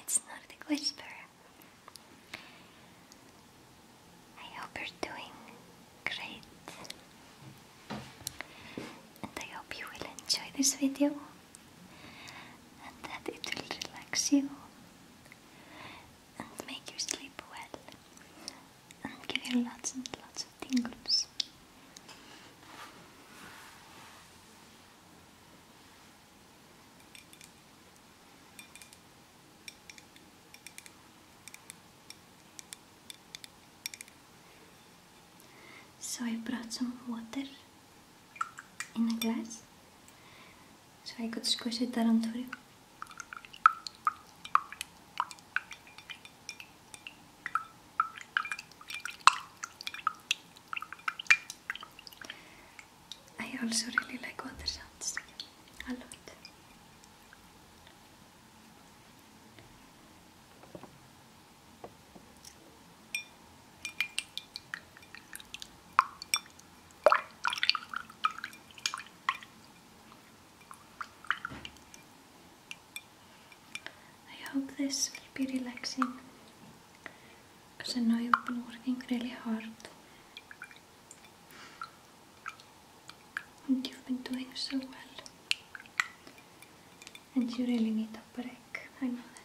It's not Nordic Whisper. I hope you're doing great. And I hope you will enjoy this video and that it will relax you and make you sleep well and give you lots and lots of tingles. So I brought some water in a glass so I could squish it down through. I also really like water sounds a lot. I hope this will be relaxing because I know you've been working really hard and you've been doing so well and you really need a break, I know that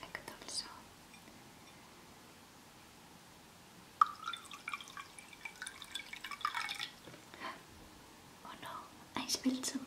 I could also Oh no, I spilled some.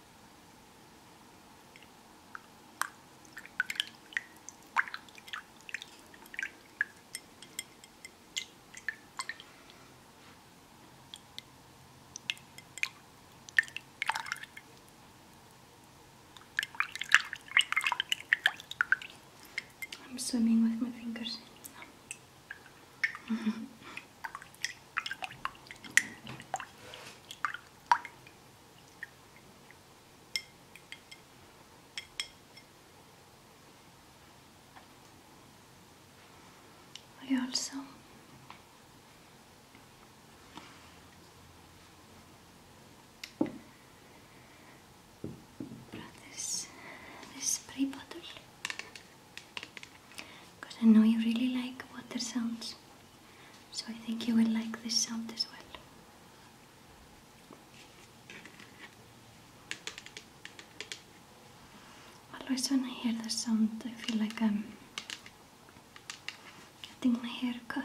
I'm swimming with my fingers. I also brought this this spray bottle because I know you really like water sounds. So I think you will like this sound as well. Always when I hear the sound, I feel like I'm getting my hair cut.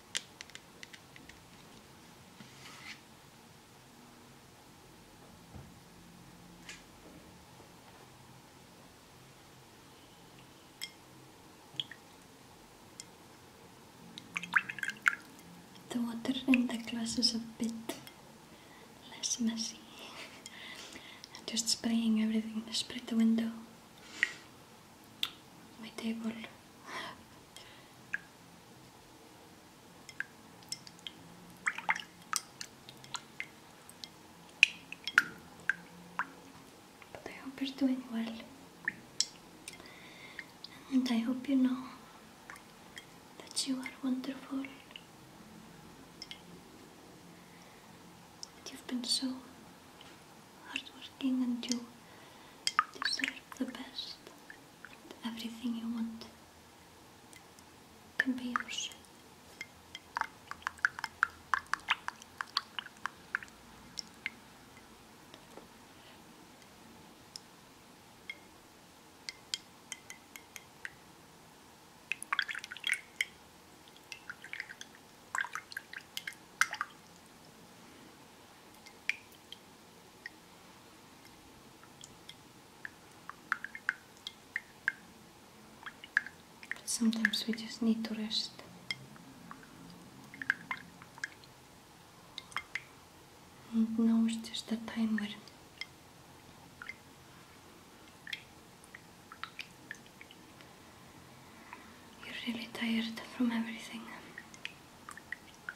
The water in the glass is a bit less messy. just spraying everything. Spray the window, my table. But I hope you're doing well. And I hope you know that you are wonderful. That you've been so hardworking and you deserve the best everything you want can be yours. Sometimes we just need to rest. And now it's just a timer. You're really tired from everything.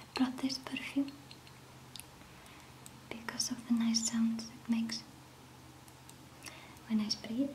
I brought this perfume because of the nice sounds it makes when I spray it.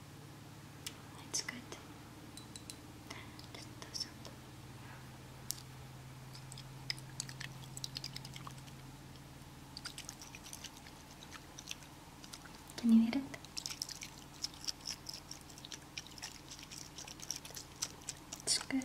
It's good. Can you eat it? It's good.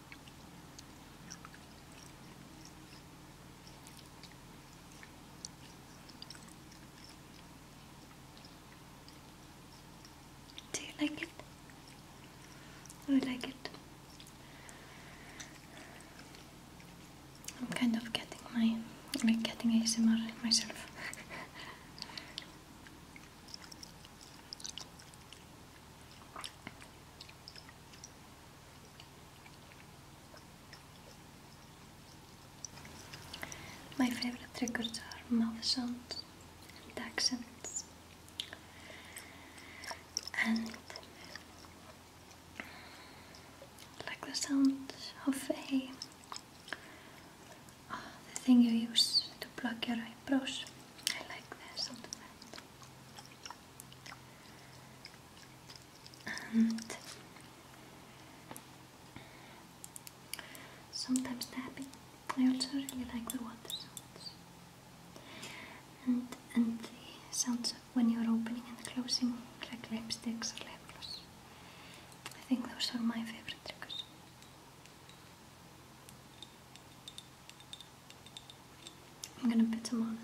Do you like it? Do oh, like it? I'm kind of getting my like getting ASMR myself. My favorite triggers are mouth sounds and accents like the sound of a oh, the thing you use to plug your eyebrows. I like the sound and sometimes tapping. I also really like the water sounds and and the sounds when you're opening and closing like lipsticks or lip gloss. I think those are my favorite triggers. I'm going to put them on.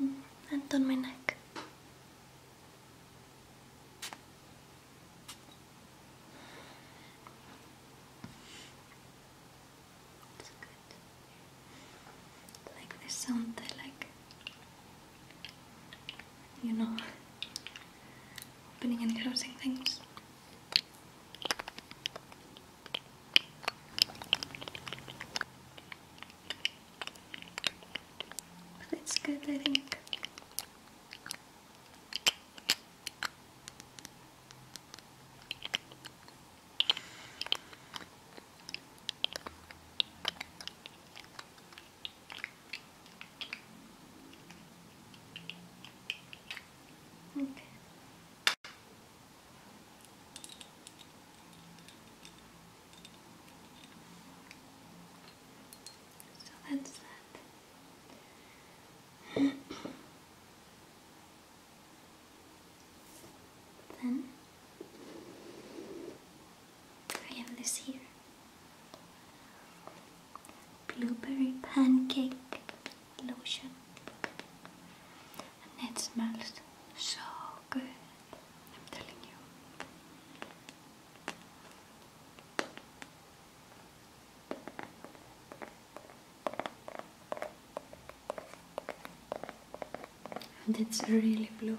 Mm, and on my neck. That's good. Like there's something like you know opening and closing things. But it's good I think. Okay. So that's that. then I have this here blueberry pancake lotion, and it smells so good. I'm telling you. And it's really blue.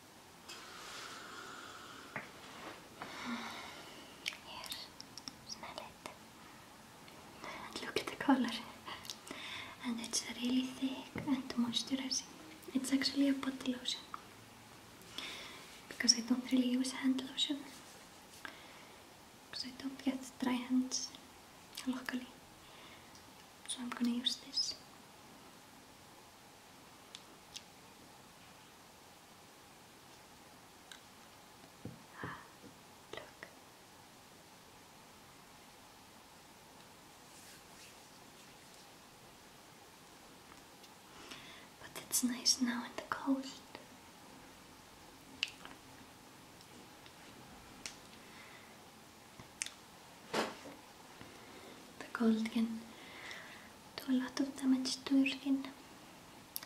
Here, smell it. look at the color. And it's really thick and moisturizing. It's actually a body lotion. Because I don't really use hand lotion. Because I don't get dry hands, luckily. So I'm gonna use this. Ah, look. But it's nice now in the cold the cold can do a lot of damage to your skin.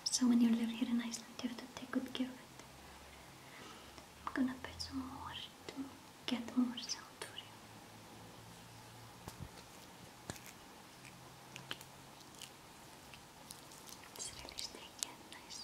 So when you live here in Iceland, you have to take good care of it. I'm gonna put some more to get more sound for you. It's really sticky nice.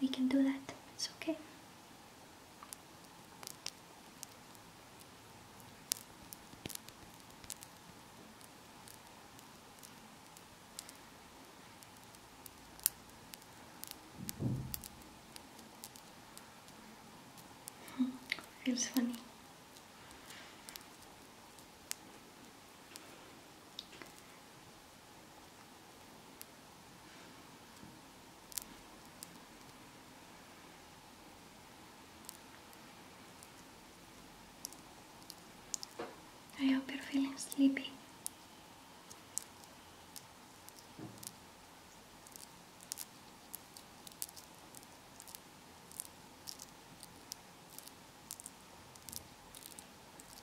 We can do that. It's okay. Hmm, it Feels funny. I hope you're feeling sleepy.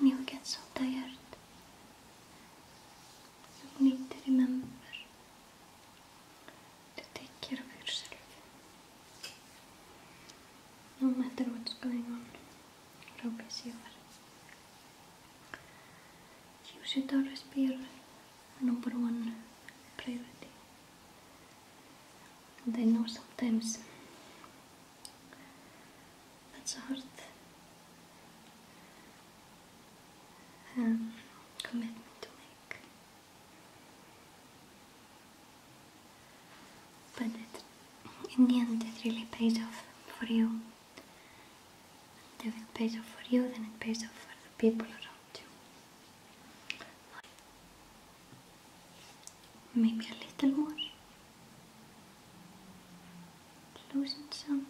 When you get so tired, you need to remember to take care of yourself, no matter what's going on. Robię sempre. You should always be your number one priority. And I know sometimes that's hard um, commitment to make, but it in the end it really pays off for you. And it pays off for you, then it pays off for the people around you. Maybe a little more. Loosen sounds.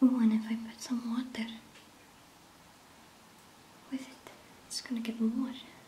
Oh, and if I put some water with it, it's gonna get more.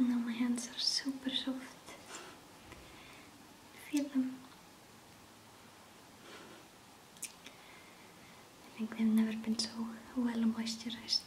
Now my hands are super soft. Feel them. I think they've never been so well moisturized.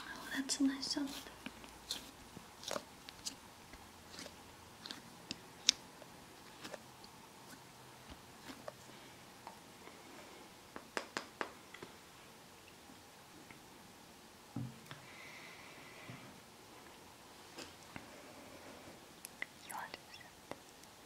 Oh, that's a nice sound. You understand?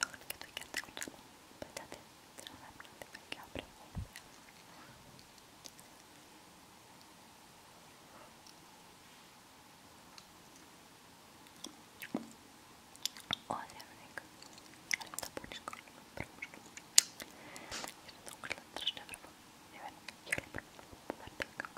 Låter vi tycka att det går bra. Berätta till dina vänner att det verkar bra. Och Henrik, han tar bort skallen och bror. Jag vet inte, hon klättrar sig därifrån. Jag vet inte, jag hjälper henne.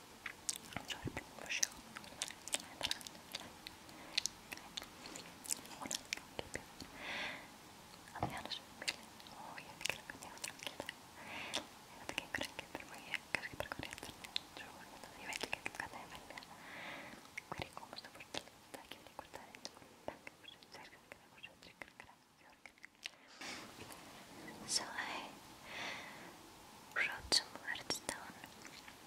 sorry for sure. أنا أرجع بيلي أوه يا فكرة كنت أفضل كده أنا بكين كنت كتر ويا كرك بركوري أفضل شو أنا يبعد لك كنت كده يبعد كريكو مستبرت تاكي لي كنت أنت تاكي وش تسير كده كده وش تسير كده كده So I wrote some words down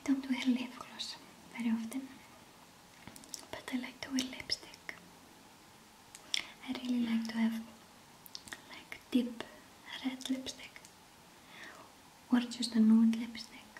I don't wear lip gloss very often, but I like to wear lipstick. I really like to have like deep red lipstick or just a nude lipstick.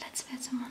Let's pet someone.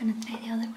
I'm gonna try the other one.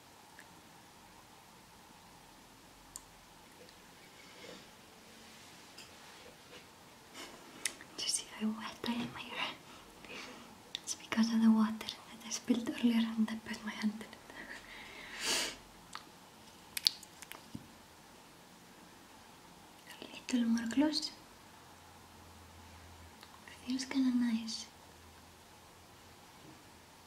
Do you see how wet I am It's because of the water that I spilled earlier and I put my hand in it. A little more close. It Feels kinda nice.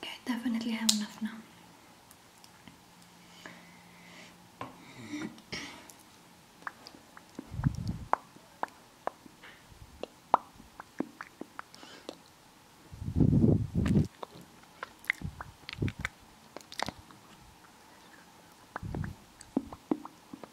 Okay, definitely have enough now.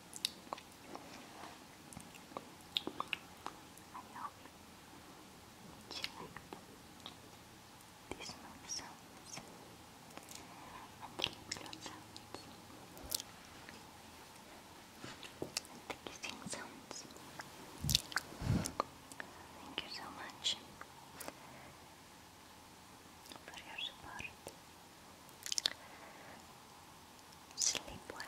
these sounds and the lip and the kissing sounds. Thank you so much for your support. Sleep well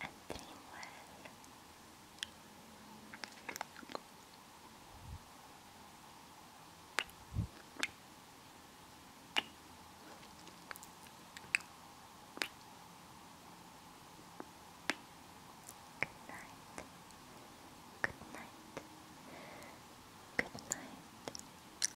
and dream well. Good night. Good night. Good night.